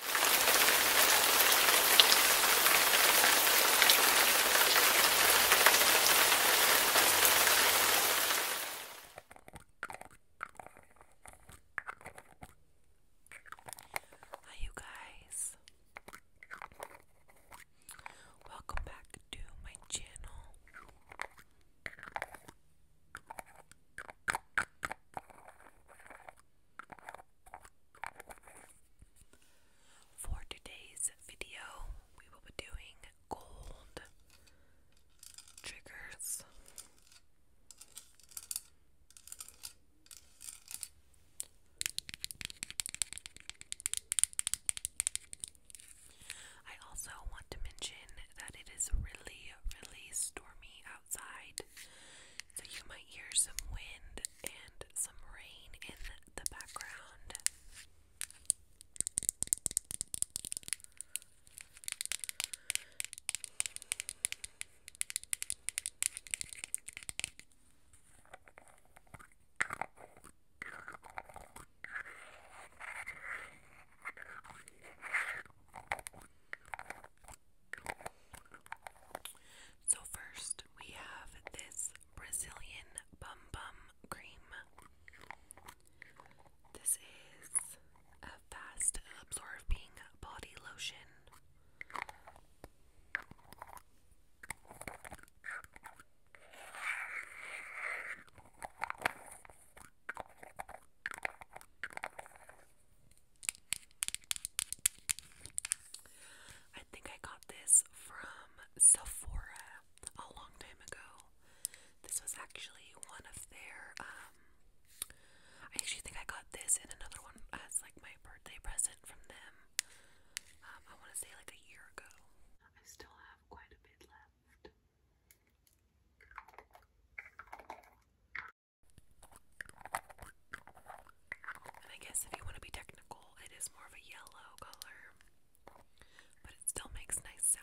Hi, you guys. Welcome back to my channel. For today's video, we will be doing gold triggers. I also want to mention that it is really, really stormy outside, so you might hear some wind and some rain in the background. So, first we have this Brazilian Bum Bum Cream. This is a fast absorbing body lotion. I think I got this from Sephora a long time ago. This was actually one of their, um, I actually think I got this and another one as like my birthday present from them. Um, I want to say like a year ago. I still have quite a bit left. And I guess if you want to be technical, it is more of a yellow color, but it still makes nice sounds.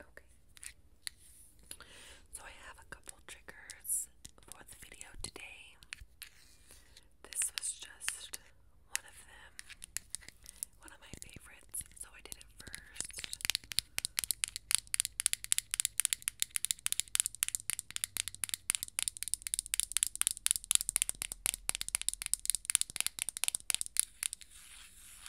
Okay. So I have a couple triggers for the video today. This was just one of them. One of my favorites, so I did it first.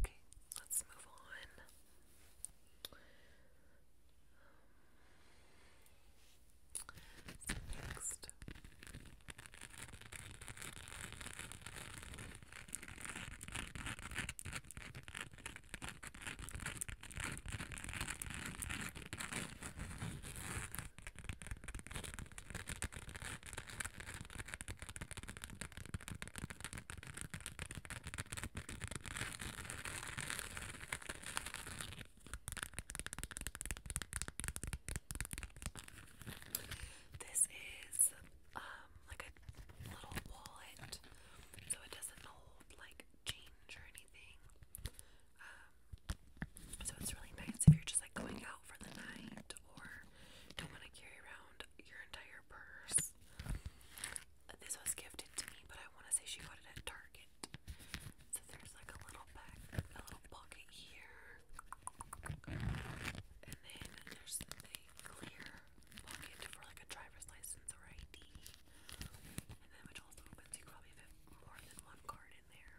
Okay, let's move on. next. This is um like a little wallet, so it doesn't hold like change or anything. Um, so it's really nice if you're just like going out for the night or don't want to carry around your entire purse. This was gifted to me, but I want to say she got it at Target. So there's like a little back, a little pocket here, and then there's a clear pocket for like a driver's license or ID, and then which also opens you probably fit more than one card in there.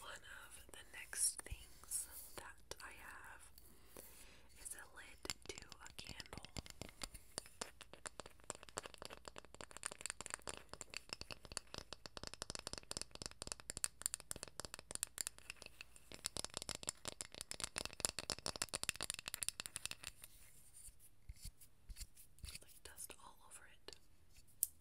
One of the next things that I have is a lid to a candle. Like dust all over it.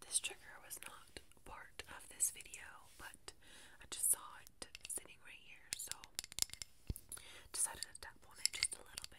This trigger was not part of this video, but I just saw it sitting right here, so decided to tap on it just a little bit.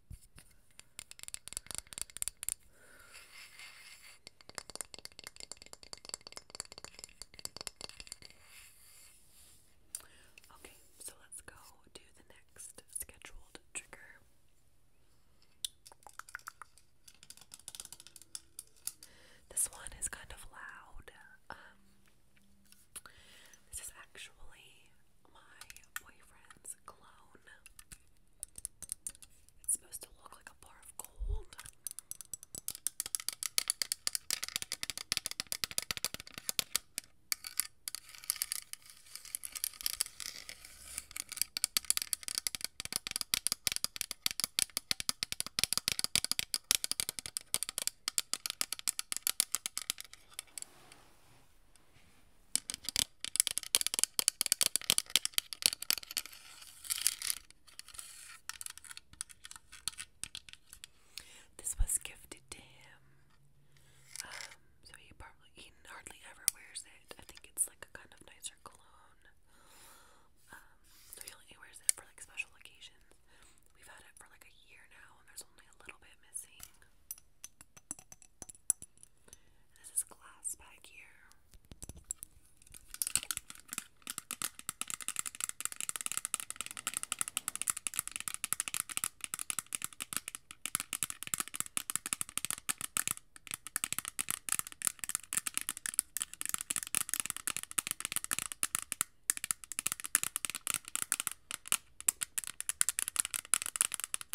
Okay, so let's go to the next scheduled trigger. This one is kind of loud. Um, this is actually my boyfriend's clone. It's supposed to look like a bar of gold. This was gifted to him, um, so he probably he hardly ever wears it. I think it's like a kind of nicer cologne, um, so he only wears it for like special occasions. We've had it for like a year now, and there's only a little bit missing. And this is glass back here. Let's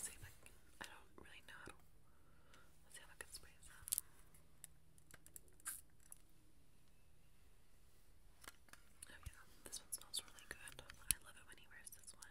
see if I can, I don't really know. Let's see if I can squeeze that. Oh yeah, this one smells really good. I love it when he wears this one.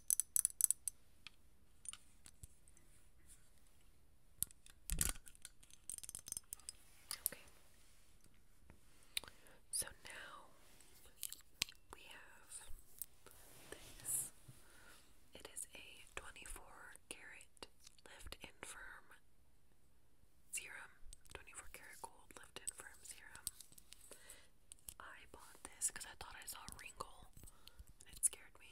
Okay. So now we have this. It is a 24 karat left in firm serum. 24 karat gold left in firm serum. I bought this because I thought I saw a wrinkle and it scared me.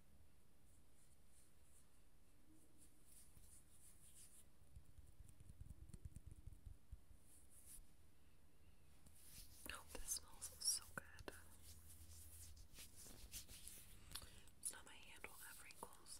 Oh, this smells so good. It's my hand will have wrinkles.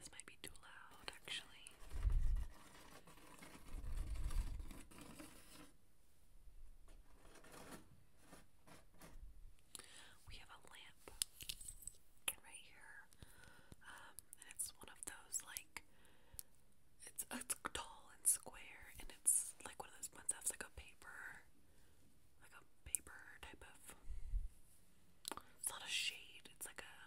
This might be too loud, actually. We have a lamp right here, um, it's one of those like it's, it's tall and square, and it's like one of those ones that's like a paper, like a paper type of. It's not a shade. It's like a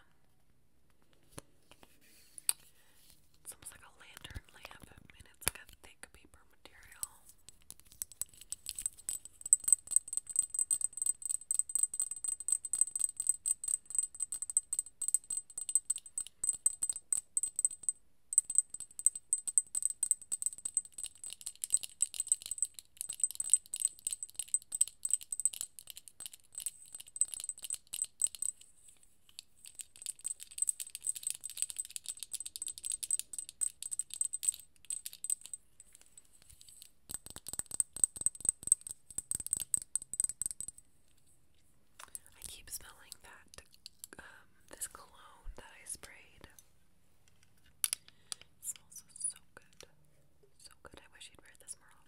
it's almost like a lantern lamp, and it's like a thick paper material. I keep smelling that um, this cologne that I sprayed. smells so good. So good. I wish you'd wear this more often.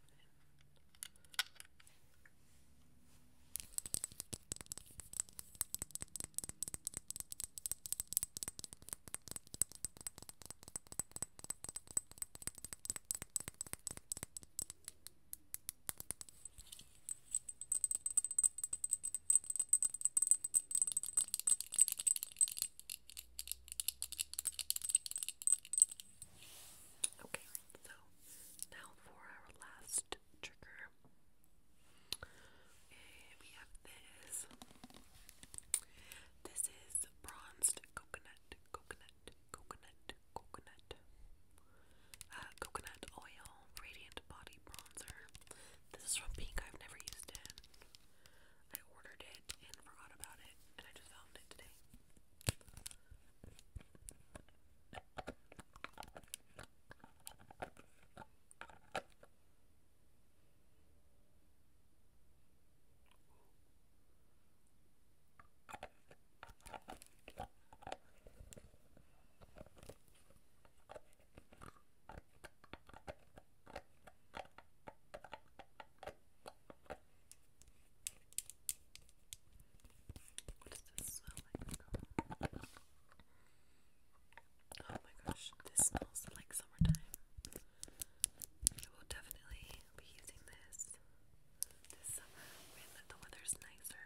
Okay, so now for our last trigger. we have this. This is bronzed coconut, coconut, coconut, coconut. Uh, coconut oil radiant body bronzer. This is from Pink. I've never used it. I ordered it and forgot about it, and I just found it today this Oh my gosh, this smells like summertime. I will definitely be using this this summer when the weather's nicer.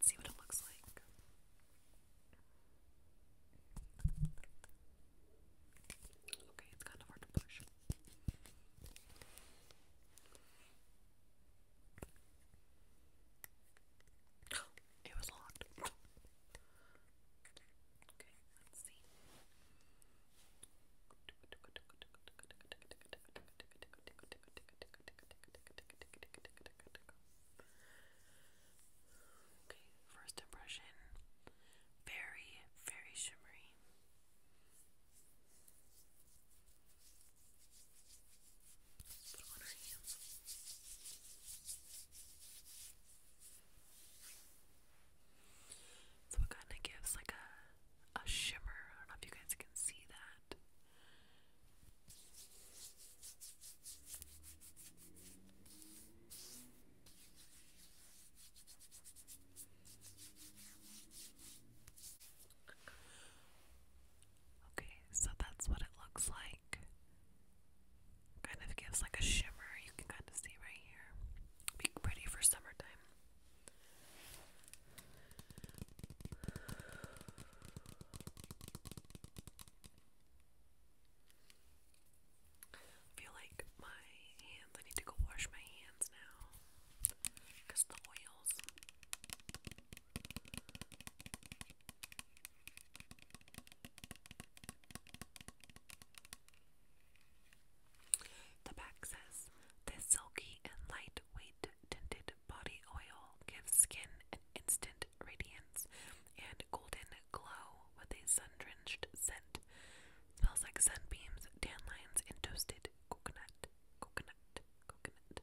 Let's see what it looks like. Okay, it's kind of hard to push. it was locked. Okay, let's see. Okay, first impression very, very shimmery. So it kind of gives like a a shimmer. I don't know if you guys can see that. Okay, so that's what it looks like. Kind of gives like a shimmer, you can kind of see right here. pretty for summertime. I feel like my hands, I need to go wash my hands now because the oils. The back says, This silky and light weight tinted body oil gives skin an instant radiance and golden glow with a sun drenched scent. Smells like sunbeams, dandelions, and toasted coconut. Coconut. Coconut.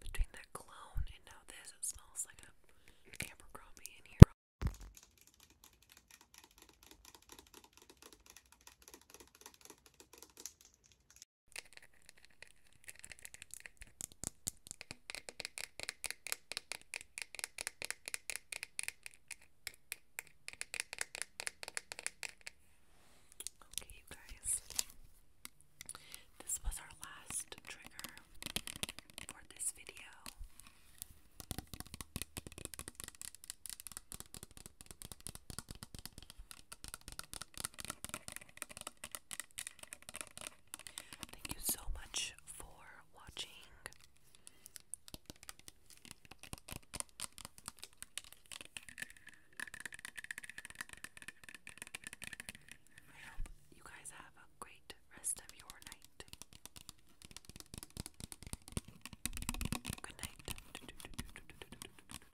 Between that clone and now this, it smells like a Abercrombie in here. Okay, you guys, this was our last trigger for this video. Thank you so much for watching. I hope you guys have a great rest of your night. Good night.